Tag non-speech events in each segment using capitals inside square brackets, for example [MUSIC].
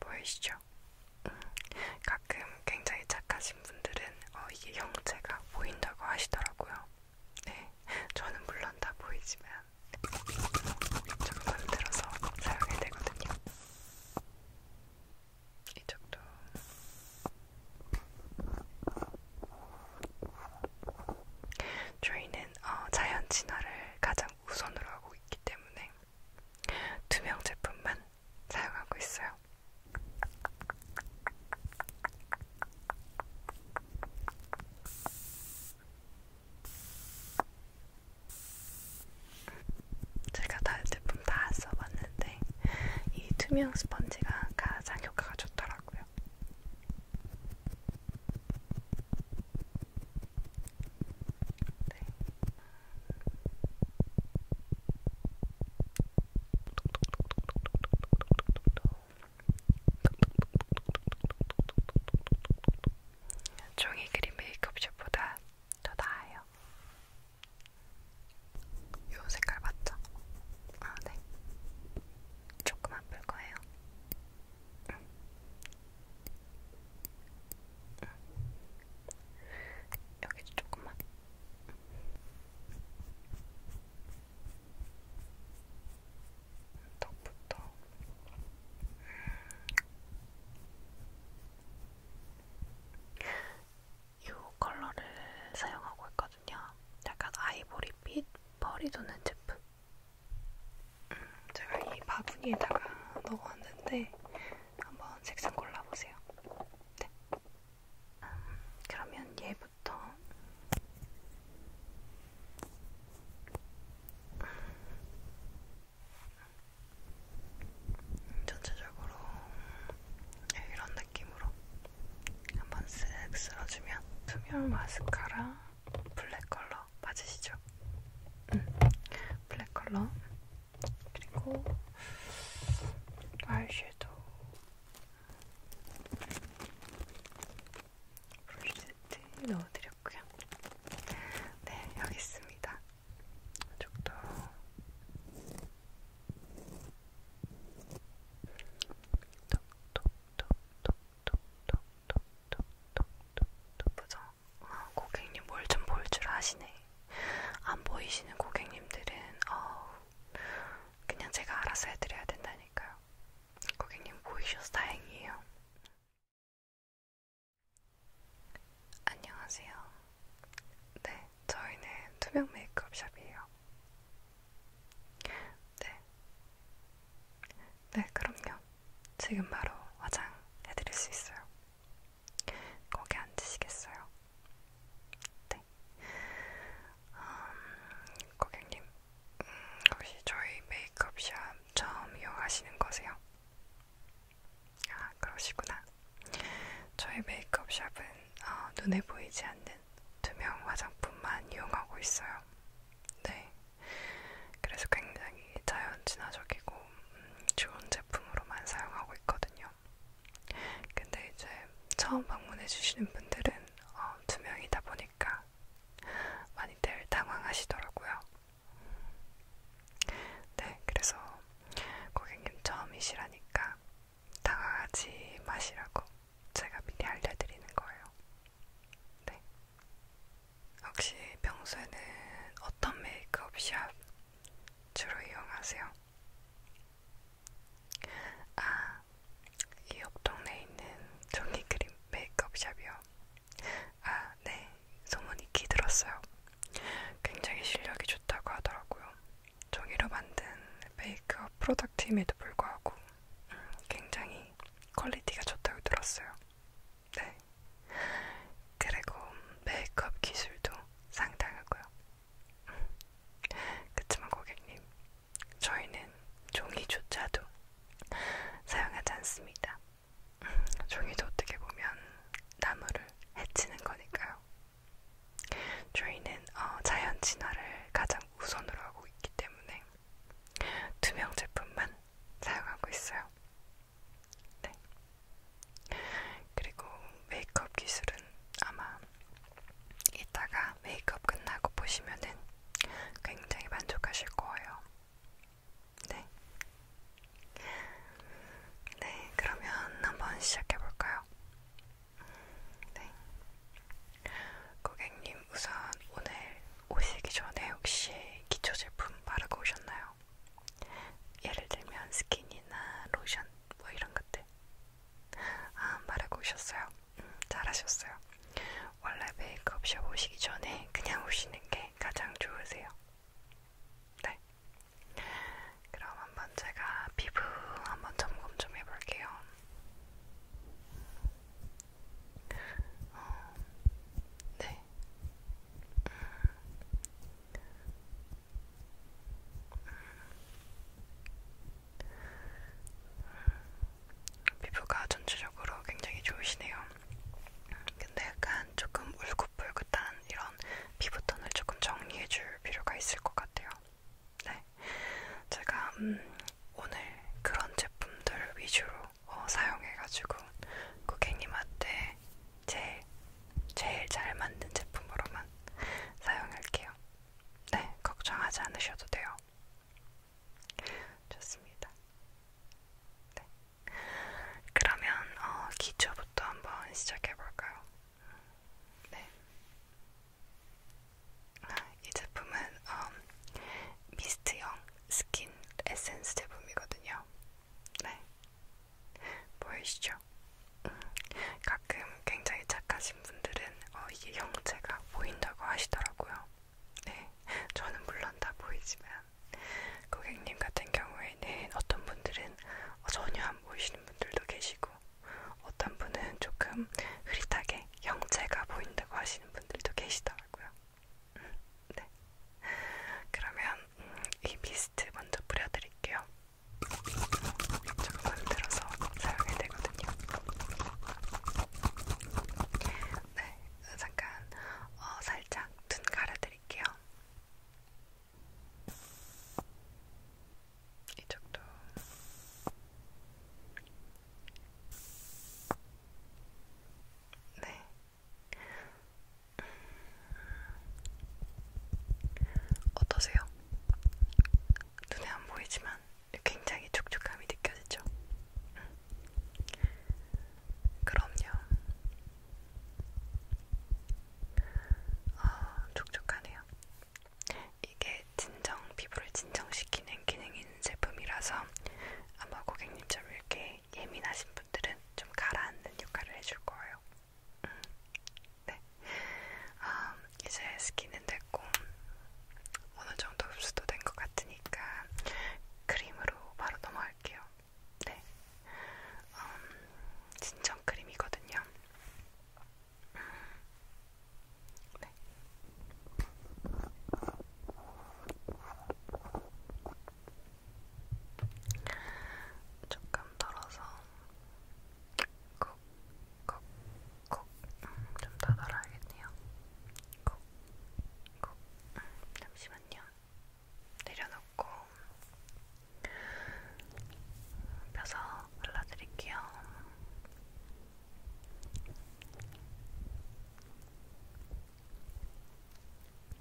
보이시죠? 음, 가끔 굉장히 착하신 분들은 어, 이게 형체가 보인다고 하시더라고요. 네, 저는 물론 다 보이지만 조금 들어서 사용해야 되거든요. 이쪽도 저희는 어, 자연 진화를 가장 우선으로 하고 있기 때문에 두명 제품만 사용하고 있어요. 제가 다른 제품 다 써봤는데 이 투명 스펀지가 가장 효과가 좋더라고요. 네. 종이 그림 메이크업샵보다 더 나아요. 요 색깔 맞죠? 아, 네. 조금 아플 거예요. 응. 응. 여기도 조금만. 턱부터. 이 컬러를 사용하고 있거든요. 약간 아이보리빛 펄이 도는 제품. 음, 제가 이 바구니에다가 넣어왔는데 한번 색상 골라보세요. 네. 음, 그러면 얘부터 음, 전체적으로 네, 이런 느낌으로 한번 쓱 쓸어주면 투명 마스카라 블랙 컬러 맞으시죠? 음, 블랙 컬러 그리고 아이섀도우 브러쉬 넣어드렸고요. 네, 여기 있습니다. 이쪽도 톡톡톡톡톡톡톡톡톡톡 부정 어, 고객님 뭘 좀 볼 줄 아시네. 안 보이시는 고객님들은 어, 그냥 제가 알아서 해드려야 된다니까요. 고객님 보이셔서 다행이에요. 안녕하세요. 네, 저희는 투명 메이크업 샵이에요. 네. 네, 그럼요. 지금 바로 화장 해드릴 수 있어요. 거기 앉으시겠어요? 네. 음, 고객님, 음, 혹시 저희 메이크업샵 처음 이용하시는 거세요? 아, 그러시구나. 저희 메이크업샵은 어, 눈에 보이지 않는 투명 화장품만 이용하고 있어요. 네. 그래서 굉장히 자연친화적이고 좋고 음, 좋은 제품으로만 사용하고 있거든요. 근데 이제 처음 방문해주시는 분들은 어, 두 명이다 보니까 많이들 당황하시더라고요. 네, 그래서 고객님 처음이시라니까 당황하지 마시라고 제가 미리 알려드리는 거예요. 네. 혹시 평소에는 어떤 메이크업 샵 주로 이용하세요. 아, 이옆 동네에 있는 종이 그림 메이크업샵이요. 아, 네, 소문이 기 들었어요. 굉장히 실력이 좋다고 하더라고요. 종이로 만든 메이크업 프로덕트임에도 불구하고 음, 굉장히 퀄리티가 좋다고 들었어요. 네. 그리고 메이크업 기술도 상당하고요. 음. 그치만 고객님, 저희는 종이조차도 사용하지 않습니다. 음, 종이도 어떻게 보면 나무를 해치는 거니까요. 저희는 어, 자연 진화를 가장 우선으로 하고 있기 때문에 투명 제품만 사용하고 있어요. 네. 그리고 메이크업 기술은 아마 이따가 메이크업 끝나고 보시면은 굉장히 만족하실 거예요. 네. 네, 그러면 한번 시작해 볼까요? 네. 고객님, 우선 오늘 오시기 전에 혹시 기초 제품 바르고 오셨나요? 예를 들면 스킨이나 로션 뭐 이런 것들. 아, 말하고 오셨어요. 음, 잘하셨어요. 원래 메이크업샵 오시기 전에 그냥 오시는 게 가장 좋으세요. 네. 그럼 한번 제가 피부 한번 점검 좀 해볼게요. 어, 네. 피부가 전체적으로 굉장히 좋으시네요. 근데 약간 조금 울긋불긋한 이런 피부톤을 조금 정리해줄 필요가 있을 것 같아요. 네, 제가 음, 오늘 그런 제품들 위주로 어, 사용해가지고 고객님한테 제일 제일 잘 만든 제품으로만 사용할게요. 네, 걱정하지 않으셔도 돼요. 좋습니다. 네. 그러면 어, 기초부터 한번 시작해 볼까요? 네. 아, 이 제품은 어, 미스트형 스킨 에센스 제품이거든요. 네. 보이시죠? 음, 가끔 굉장히 착하신 분들은 어, 이게 형체가 보인다고 하시더라고요. 네, 저는 물론 다 보이지만 고객님 같은 경우에는 어떤 분들은 어, 전혀 안 보이시는 분들도 계시고 어떤 분은 조금 흐릿하게 형체가 보인다고 하시는 분들도 계시더라고요. 음, 네. 그러면 음, 이 미스트 먼저 뿌려드릴게요. 조금 흔들어서 사용해야 되거든요. 네, 잠깐 어, 살짝 눈 가려드릴게요. 이쪽도 네 어떠세요? 눈에 안 보이지만 굉장히 촉촉함이 느껴지죠? 음. 그럼요. 아, 촉촉하네요. 이게 진정, 피부를 진정시키는 기능이 있는 제품이라서 아마 고객님처럼 이렇게 예민하신 분들은 좀 가라앉는 역할을 해줄 거예요. [LAUGHS] 네. 아, 이제 스킨은 됐고 어느 정도 흡수도 된 것 같으니까 크림으로 바로 넘어갈게요. 네. 음, 진정 크림이거든요. 음. 네. 조금 덜어서 콕콕콕좀 음, 더 덜어야겠네요. 콕콕 음, 잠시만요. 내려놓고 펴서 발라드릴게요.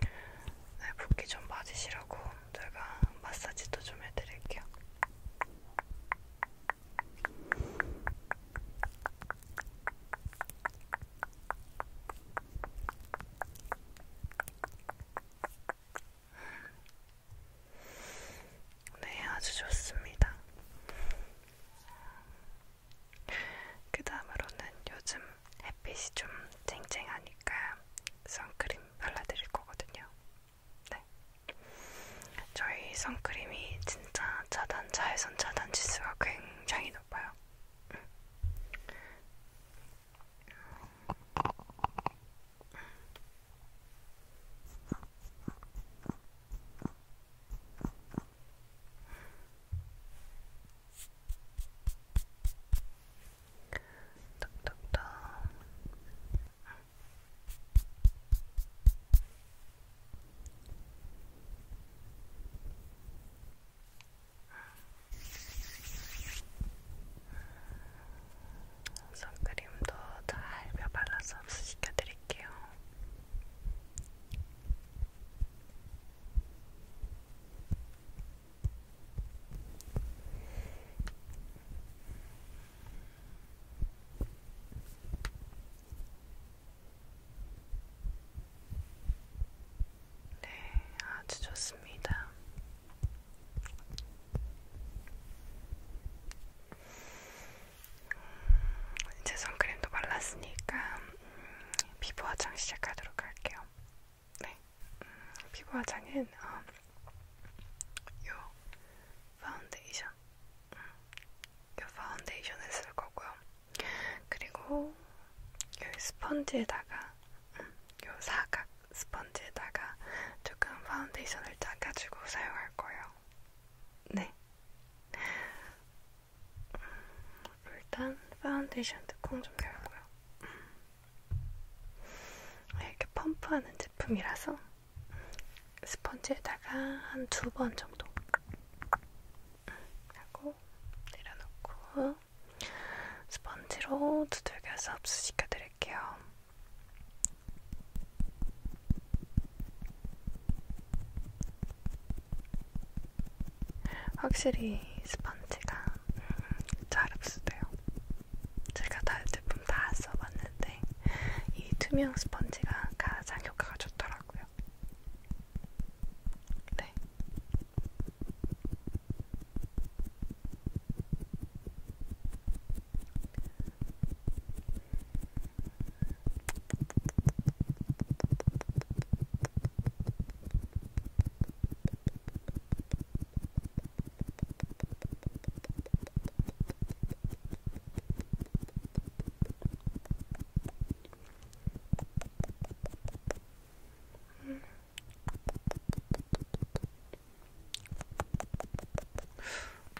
네, 붓기 좀 맞으시라고 제가 마사지도 좀 해드릴게요. 네, 아주 좋습니다. 그 다음으로는 요즘 햇빛이 좀 쨍쨍하니까 선크림 발라드릴 거거든요. 네. 저희 선크림이 진짜 차단, 자외선 차단 지수가 굉장히 높아요. 음. 음. 톡톡톡. 선크림도 잘며 발라서 흡수시켜드릴게요. 네, 아주 좋습니다. 음, 이제 선크림도 발랐으니까 피부 화장 시작하도록 할게요. 네, 음, 피부 화장은 어, 요 파운데이션, 음, 요 파운데이션을 쓸 거고요. 그리고 요 스펀지에다가 음, 요 사각 스펀지에다가 조금 파운데이션을 짜가지고 사용할 거예요. 네. 일단 파운데이션 뚜껑 좀 열고요. 아, 이렇게 펌프하는 제품이라서 스펀지에다가 한 두 번 정도 하고 내려놓고 스펀지로 두들겨서 흡수시켜 드릴게요. 확실히 스펀지가 잘 흡수돼요. 제가 다 제품 다 써봤는데 이 투명 스펀지가 가장 효과가 좋더라고요. 네.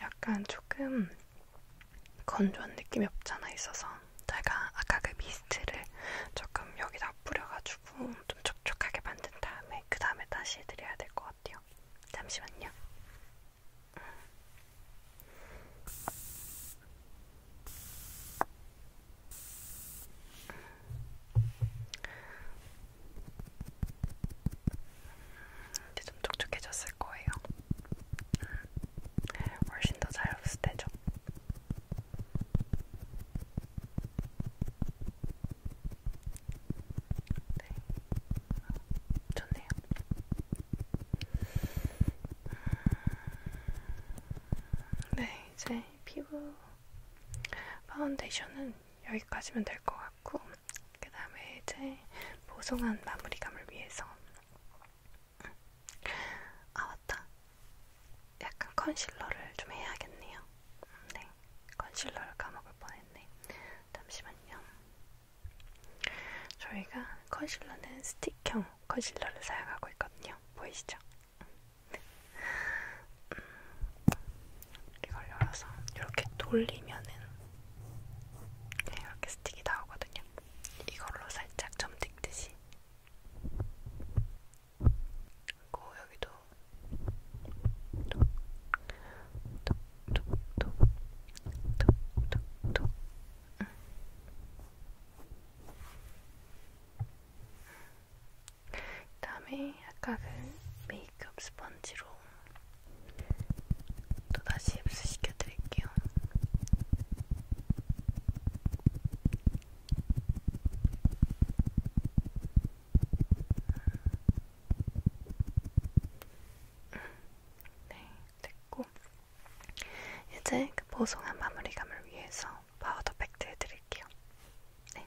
약간 조금 건조한 느낌이 없잖아 있어서 제가 아까 그 미스트를 조금 여기다 뿌려가지고 좀 촉촉하게 만든 다음에 그 다음에 다시 해드려야 될 것 같아요. 잠시만요. 음. 이제 좀 촉촉해졌을 거예요. 음. 훨씬 더 잘 흡수되죠. 네, 좋네요. 네, 이제 피부 파운데이션은 여기까지면 될 것 같고, 그 다음에 이제 보송한 마무리감을 위해서 응. 아 맞다. 약간 컨실러를 좀 해야겠네요. 음, 네, 컨실러를 까먹을 뻔했네. 잠시만요. 저희가 컨실러는 스틱형 컨실러를 사용하고 있거든요. 보이시죠? 네. 이걸 열어서 이렇게 돌리면은 네, 이렇게 스틱이 나오거든요. 이걸로 살짝 점 찍듯이 그리고 여기도 톡톡톡톡톡톡톡 응. 그다음에 아까 그 메이크업 스펀지로 또 다시 흡수시켜 드릴게요. 네, 됐고 이제 그 보송한 마무리감을 위해서 파우더 팩트 해드릴게요. 네.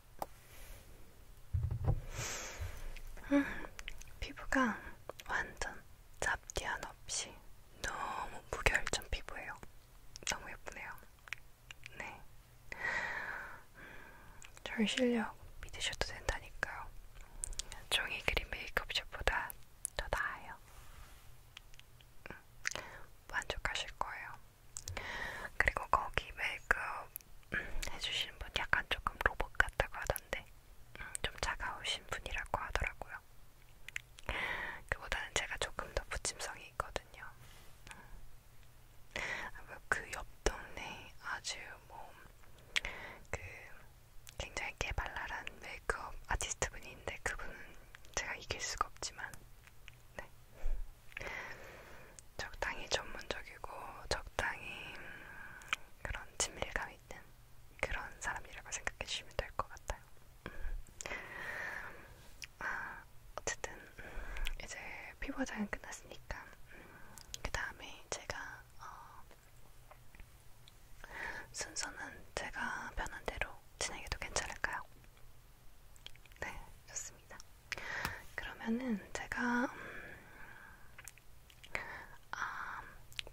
음, 피부가 완전 잡티한 없이 너무 무결점 피부예요. 너무 예쁘네요. 네. 음, 절 실력 믿으셔도 된다니까요. 종이 그림 메이크업샵보다 더 나아요. 음, 만족하실 거예요. 그리고 거기 메이크업 해주신 분 약간 조금 로봇 같다고 하던데 음, 좀 차가우신 분이라고 하더라고요. 그보다는 제가 조금 더 부침성이 있거든요. 음. 아, 그옆 동네 아주 뭐 그 굉장히 깨발랄한 메이크업 아티스트 분인데 그분은 제가 이길 수가 없지만 네. 적당히 전문적이고 적당히 음, 그런 친밀감 있는 그런 사람이라고 생각해 주시면 될 것 같아요. 음. 아, 어쨌든 음, 이제 피부 화장은 끝났으니까 그 다음에 제가 어, 순서는 제가 변한 대로 진행해도 괜찮을까요? 네, 좋습니다. 그러면은 제가 음, 아,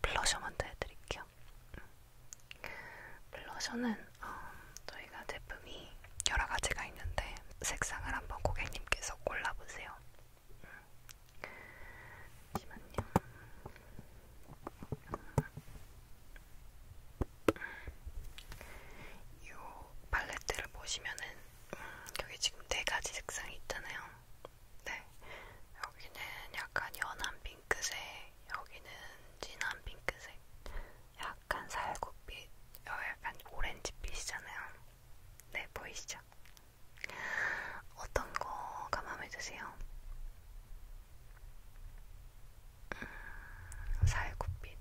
블러셔 먼저 해드릴게요. 블러셔는 어, 저희가 제품이 여러 가지가 있는데 색상을 한번 고객님께서 골라보세요. 잠시만요. 이 팔레트를 보시면은 음, 여기 지금 네 가지 색상이 있잖아요. 네. 여기는 약간 연한 핑크색, 여기는 진한 핑크색, 약간 살구빛, 어, 약간 오렌지빛이잖아요. 네, 보이시죠? 어떤 거가 마음에 드세요? 음, 살구빛.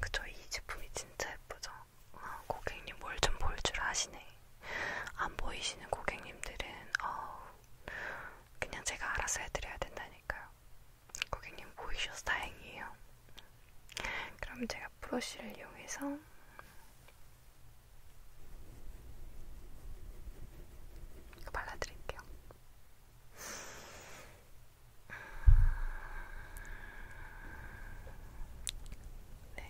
그쵸, 이 제품이 진짜 예쁘죠? 어, 고객님 뭘 좀 볼 줄 아시네. 안 보이시는 고객님들은 어, 그냥 제가 알아서 해드려야 된다니까요. 고객님 보이셔서 다행이에요. 그럼 제가 브러쉬를 이용해서 발라드릴게요. 네,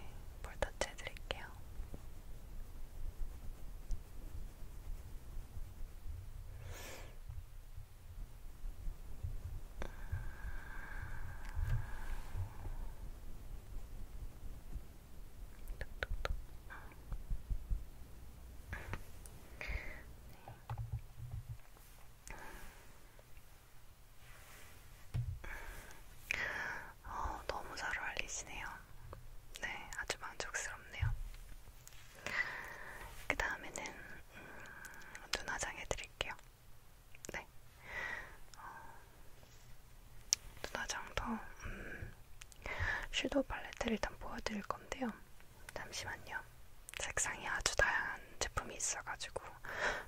볼 터치 드릴게요. 네. 어, 너무 잘 어울리시네요. 네, 아주 만족스럽네요. 그 다음에는 음, 눈 화장 해드릴게요. 네, 어, 눈 화장도 음, 섀도우 팔레트를 일단 보여드릴 건데요. 잠시만요. 색상이 아주 다양한 제품이 있어가지고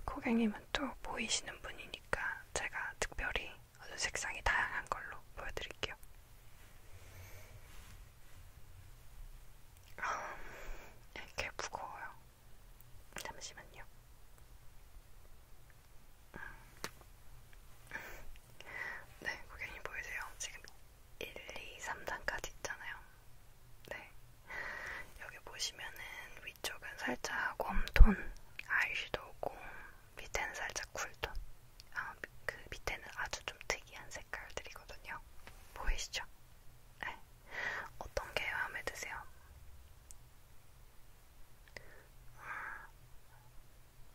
고객님은 또 보이시는 분이니까 제가 특별히 아주 색상이 다양한 걸로 보여드릴게요. 아, 이렇게 무거워요. 잠시만요. 네, 고객님 보이세요? 지금 1, 2, 3단까지 있잖아요. 네. 여기 보시면은 위 위쪽은 살짝 웜톤 아이섀도우고 밑에는 살짝 쿨톤 아, 그 밑에는 아주 좀 특이한 색깔들이거든요 보이시죠? 네. 어떤 게 마음에 드세요?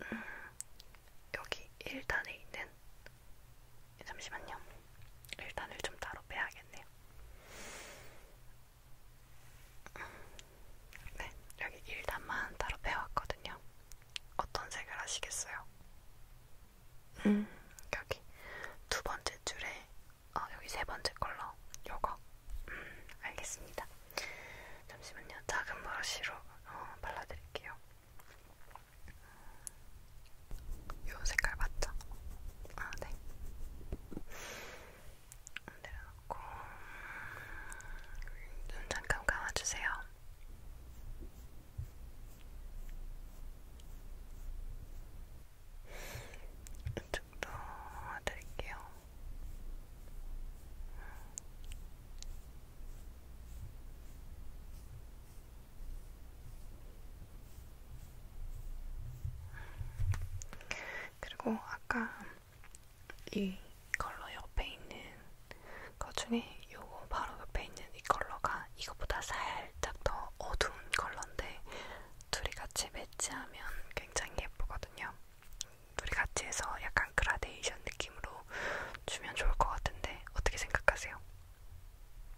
음, 여기 1단에 있는 네, 잠시만요 1단을 좀 따로 빼야겠네요 네, 여기 1단만 따로 빼왔거든요. 어떤 색을 하시겠어요? 음, 여기 두 번째 줄에, 어, 여기 세 번째 컬러, 요거. 음, 알겠습니다. 잠시만요. 작은 브러쉬로 어, 발라드릴게요. 요 색깔 맞죠? 아, 네. 내려놓고 눈 잠깐 감아주세요. 이쪽도 드릴게요. 그리고 아까 이 컬러 옆에 있는 것 중에 요거 바로 옆에 있는 이 컬러가 이거보다 살짝 더 어두운 컬러인데 둘이 같이 매치하면 굉장히 예쁘거든요. 둘이 같이 해서 약간 그라데이션 느낌으로 주면 좋을 것 같은데 어떻게 생각하세요?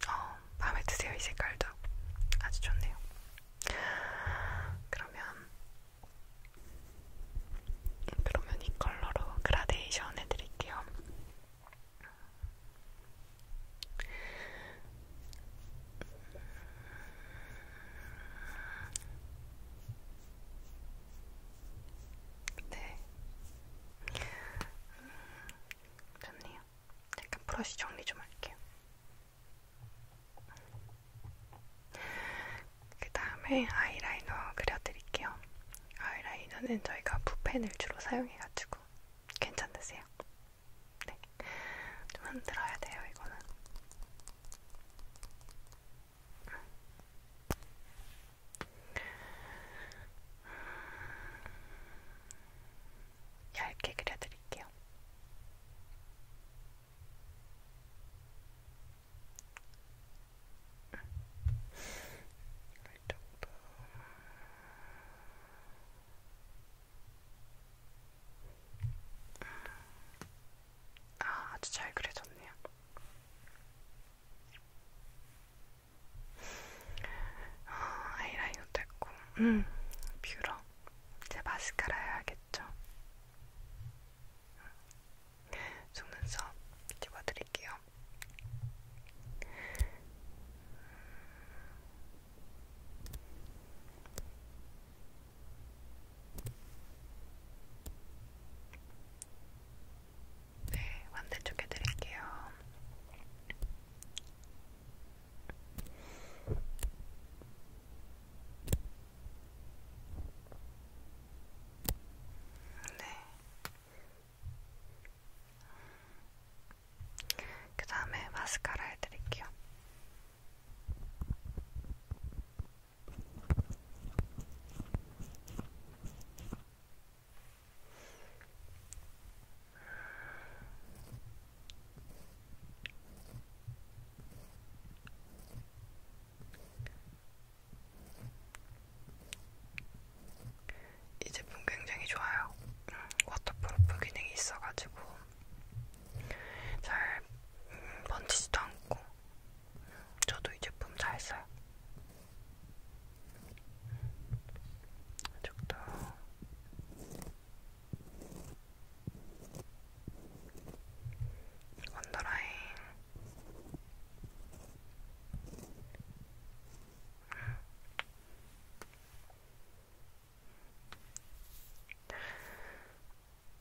어, 마음에 드세요 이 색깔도 아주 좋네요. 그러면 그러면 이 컬러로 그라데이션 해드릴게요. 네. 좋네요. 잠깐 브러쉬 정리 좀 할게요. 그 다음에 아이라이너 그려드릴게요. 아이라이너는 저희가 붓펜을 주로 사용해가지고 괜찮으세요? 네. 좀 흔들어야 돼요, 이거는. 얇게 그려드릴게요. 이 정도. 아, 아주 잘 그려졌네요. 아, 아이라인도 됐고, 음, 뷰러. 이제 마스카라 해야겠죠. 속눈썹 집어드릴게요. 네, 반대쪽에 드릴게요. 네. 그 다음에 마스카라 해드릴게요. 이 제품 굉장히 좋아요. 음, 워터프루프 기능이 있어가지고 잘 음, 번지지도 않고 음, 저도 이 제품 잘 써요. 아직도 음, 언더라인 음.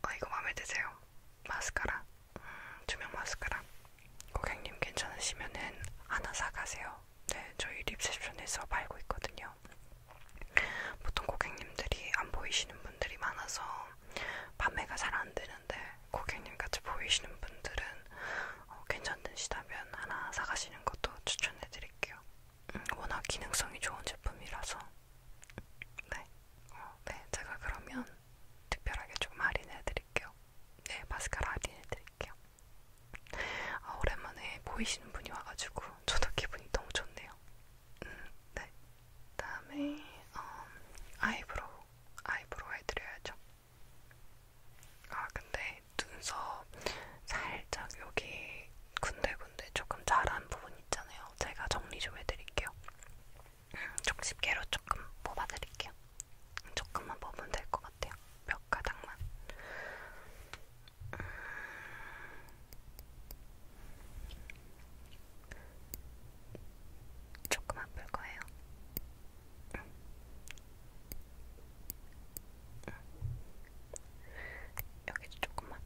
아 이거 마음에 드세요? 마스카라 음, 투명 마스카라 고객님 괜찮으시면은 하나 사가세요 네 저희 립셉션에서 팔고 있거든요 보통 고객님들이 안 보이시는 분들이 많아서 판매가 잘 안 되는데 고객님 같이 보이시는 분들은 어, 괜찮으시다면 하나 사가시는 것도 추천해드릴게요. 음, 워낙 기능성이 좋은 제품이라서 네, 어, 네 제가 그러면 특별하게 좀 할인해드릴게요. 네, 마스카라 할인해드릴게요. 아, 오랜만에 보이시는 분이 와가지고 저도 기분이 너무 좋네요. 음, 네. 다음에 어, 아이브로우 아이브로우 해드려야죠. 아 근데 눈썹 살짝 여기 군데군데 조금 자란 부분 있잖아요. 제가 정리 좀 해드릴게요. 좀 음, 집게로 조금 뽑아드릴게요. 조금만 뽑으면 될 것 같아요. 몇 가닥만. 조금 아플 거예요. 응. 응. 여기도 조금만.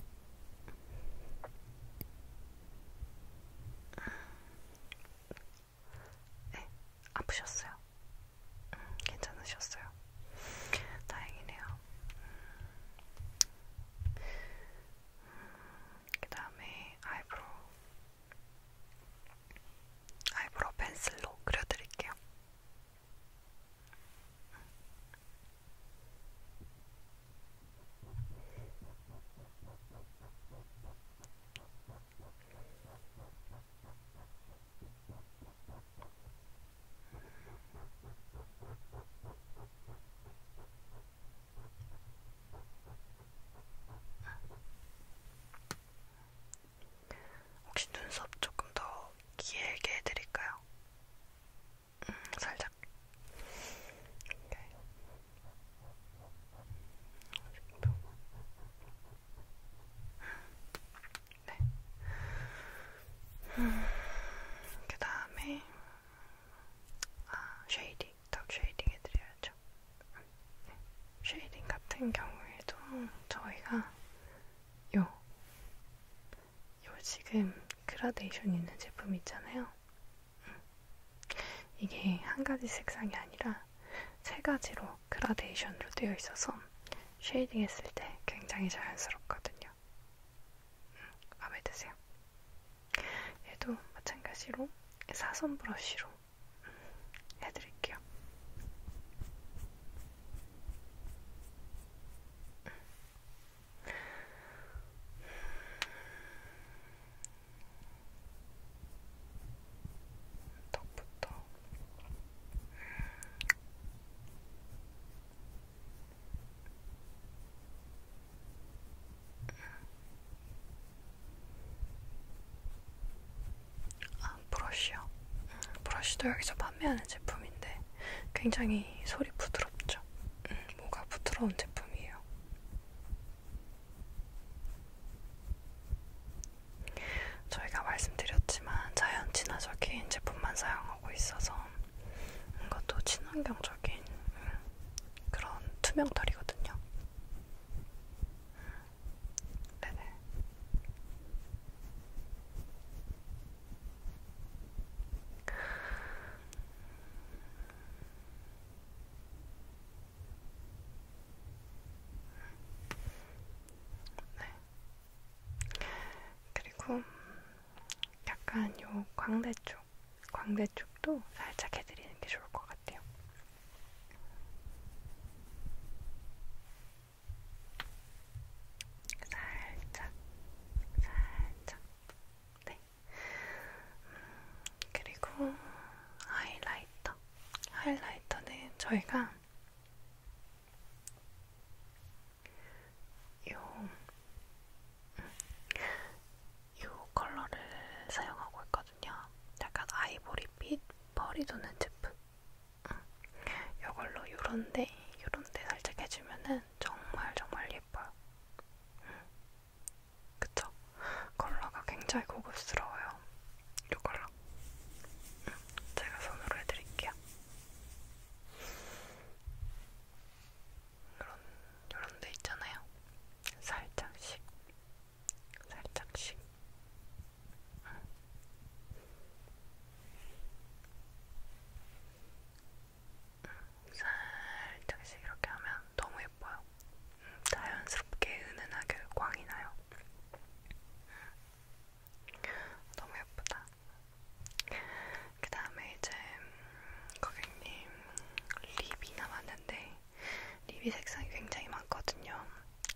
네, 아프셨어요. 음, 괜찮으셨어요. 다행이네요. 음, 그 다음에 아이브로 아이브로 펜슬로 그려드릴게요. 혹시 눈썹 조금 더 길게 해드릴까요? 음, 살짝. 네. 음, 그 다음에 아, 쉐이딩, 더 쉐이딩 해드려야죠. 네. 쉐이딩 같은 경우에도 저희가 요, 요 지금 그라데이션 있는 제품 있잖아요. 음. 이게 한 가지 색상이 아니라 세 가지로 그라데이션으로 되어 있어서 쉐이딩 했을 때 굉장히 자연스럽거든요. 같아요. 마음에 드세요? 얘도 마찬가지로 사선 브러쉬로 해드릴게요. 턱부터 아, 브러쉬요. 음, 브러쉬도 여기서 판매하는 제품인데 굉장히 소리 부드럽죠. 음, 뭐가 부드러운 제품이에요. 저희가 말씀드렸지만 자연 친화적인 제품만 사용하고 있어서 뭔가 또 친환경적인 음, 그런 투명털이거든요. 네네. 네. 그리고 약간 요 광대 쪽, 광대 쪽도 살짝 해드리는 게 좋을 것 같아요. 살짝, 살짝, 네. 음, 그리고 하이라이터. 하이라이터는 저희가 요, 음, 요 컬러를 사용하고 있거든요. 약간 아이보리빛 펄이 도는 제품. 음, 요걸로 요런데, 요런데 살짝 해주면은 정말 정말 예뻐요. 음, 그쵸? 컬러가 굉장히 고급스러워요. 요 컬러. 제가 손으로 해드릴게요. 이런 이런 데 있잖아요. 살짝씩, 살짝씩. 응. 응. 살짝씩 이렇게 하면 너무 예뻐요. 응. 자연스럽게 은은하게 광이 나요. 응. 너무 예쁘다. 그 다음에 이제 고객님 립이 남았는데 립이 색상이 굉장히 많거든요.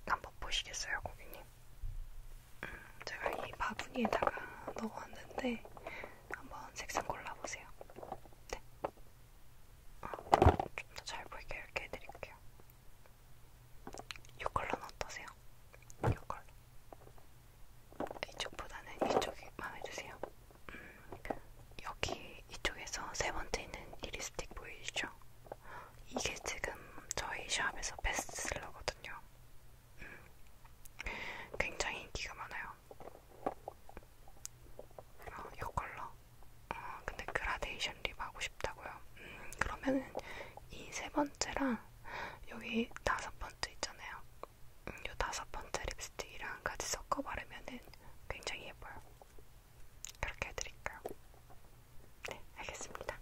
한번 보시겠어요, 고객님? 음, 제가 이 바구니에다가 넣어왔는데 한번 색상 골라보세요. 네. 아, 좀더 잘 보이게 이렇게 해드릴게요. 이 컬러는 어떠세요? 이 컬러. 이쪽보다는 이쪽이 마음에 드세요. 음, 그러니까 여기 이쪽에서 세 번째 있는 이 립스틱 보이시죠? 이게 지금 저희 샵에서 베스트셀러거든요. 음, 굉장히 인기가 많아요. 어, 이 컬러. 어, 근데 그라데이션 립 하고 싶다고요. 음, 그러면은 이세 번째랑 여기 다섯 번째 있잖아요. 이 다섯 번째 립스틱이랑 같이 섞어 바르면은 굉장히 예뻐요. 그렇게 해드릴까요? 네, 알겠습니다.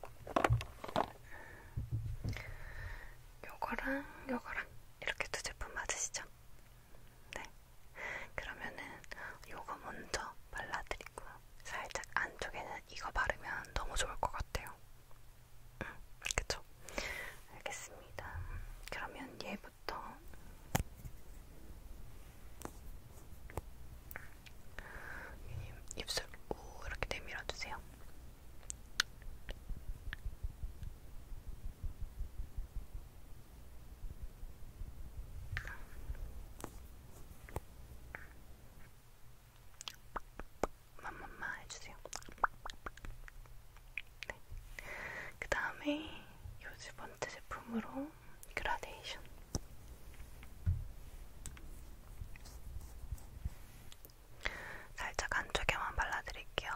요거랑 요거랑 이렇게 두 제품 맞으시죠? 네. 그러면은 요거 먼저 발라드리고 살짝 안쪽에는 이거 바르면 너무 좋을 것 같아요. 음, 그쵸? 알겠습니다. 그러면 얘부터 입술 우 이렇게 내밀어 주세요. 맘맘마 해주세요. 네. 그 다음에 요두 번째 제품으로 그라데이션. 살짝 안쪽에만 발라드릴게요.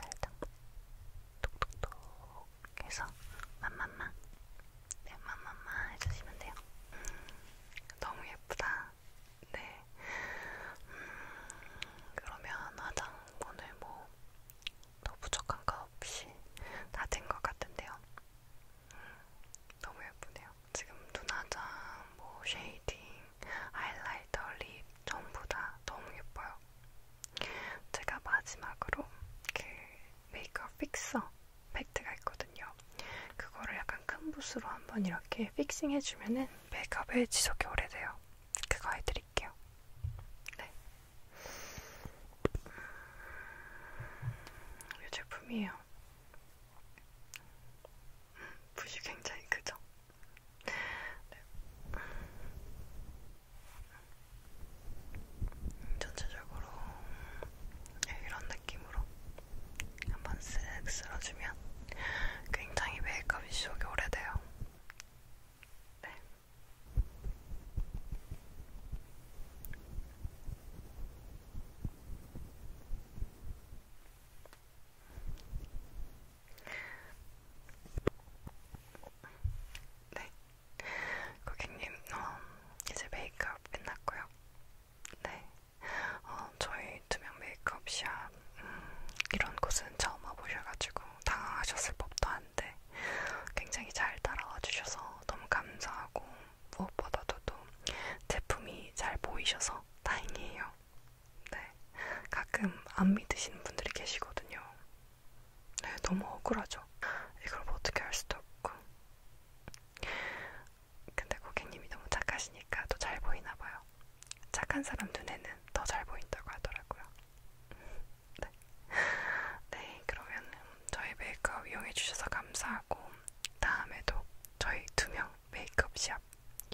살짝 톡톡톡 해서 맘맘마 네, 맘맘마 해주시면 돼요. 음, 너무 예쁘다. 네. 음, 그러면 화장 오늘 뭐더 부족한 거 없이 다 된 것 같은데요. 음, 너무 예쁘네요. 지금 눈화장, 뭐 쉐이딩, 하이라이터, 립 전부 다 너무 예뻐요. 제가 마지막으로 그 메이크업 픽서 팩트가 있거든요. 그거를 약간 큰 붓으로 한번 이렇게 픽싱해주면은 메이크업에 지속이 오래돼요. 그거 해드릴게요. 네. 음, 이 제품이에요. 음, 붓이 굉장히 크죠? 네. 음, 전체적으로 네, 이런 느낌으로 한번 쓱 쓸어주면 굉장히 메이크업이 지속이 오래돼요. 있어요. 네. 네. 고객님, 어, 이제 메이크업 끝났고요. 네. 어, 저희 이제 투명 메이크업 샵 음, 이런 곳은 처음 와보셔가지고 당황하셨을 법도 한데 굉장히 잘 따라와 주셔서 너무 감사하고 무엇보다도 또 제품이 잘 보이셔서 다행이에요. 네, 가끔 안 믿으시는 분들이 계시거든요. 네, 너무 억울하죠. 이걸 뭐 어떻게 할 수도 없고. 근데 고객님이 너무 착하시니까 또 잘 보이나 봐요. 착한 사람 눈에는 더 잘 보인다고 하더라고요. [LAUGHS] 네. 네, 그러면 저희 메이크업 이용해주셔서 감사하고 다음에도 저희 두명 메이크업 시합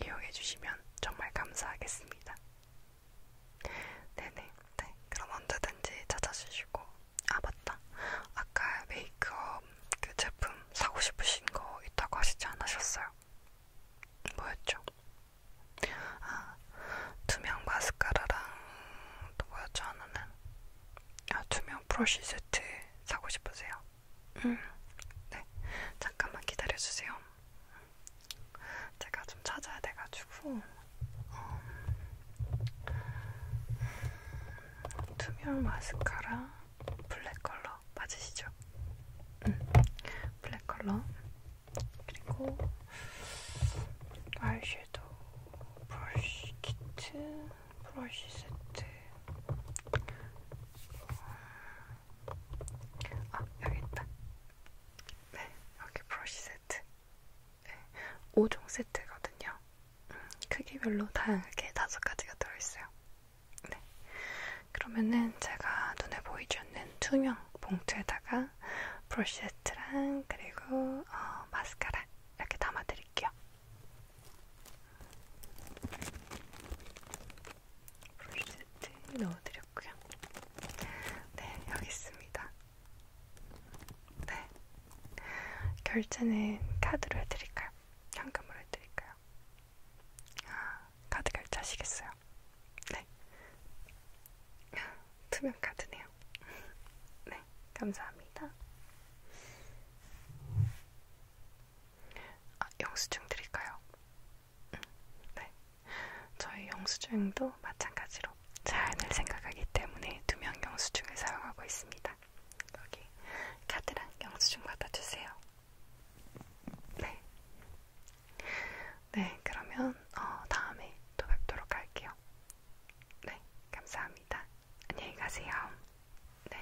이용해주시면 정말 감사하겠습니다. 네네, 네, 그럼 언제든지 찾아주시고 아 맞다, 아까 메이크업 그 제품 사고 싶으신 거 있다고 하시지 않으셨어요? 뭐였죠? 아, 투명 마스카라랑 또 뭐였죠 하나는? 아, 투명 브러쉬 세트 사고 싶으세요? 음, 네, 잠깐만 기다려주세요. 제가 좀 찾아야 돼가지고 어, 음, 투명 마스카라 블랙 컬러 맞으시죠? 음, 블랙 컬러 그리고 아이섀도우 브러쉬 키트, 브러쉬 세트. 아, 여기 있다. 네, 여기 브러쉬 세트. 네, 5종 세트거든요. 음, 크기별로 다양하게 5가지가 들어있어요. 네. 그러면은 제가 눈에 보이지 않는 투명 봉투에다가 브러쉬세트랑 그리고 어, 마스카라 이렇게 담아드릴게요. 브러쉬세트 넣어드렸고요. 네, 여기 있습니다. 네, 결제는 카드로 해드릴까요? 현금으로 해드릴까요? 아, 카드 결제하시겠어요? 네. 투명 카드네요. 네, 감사합니다. 아, 영수증 드릴까요? 음, 네. 저희 영수증도 마찬가지로 잘들 생각하기 때문에 두명 영수증을 사용하고 있습니다. 여기 카드랑 영수증 받아주세요. 네. 네, 그러면 어, 다음에 또 뵙도록 할게요. 네, 감사합니다. 안녕히 가세요. 네.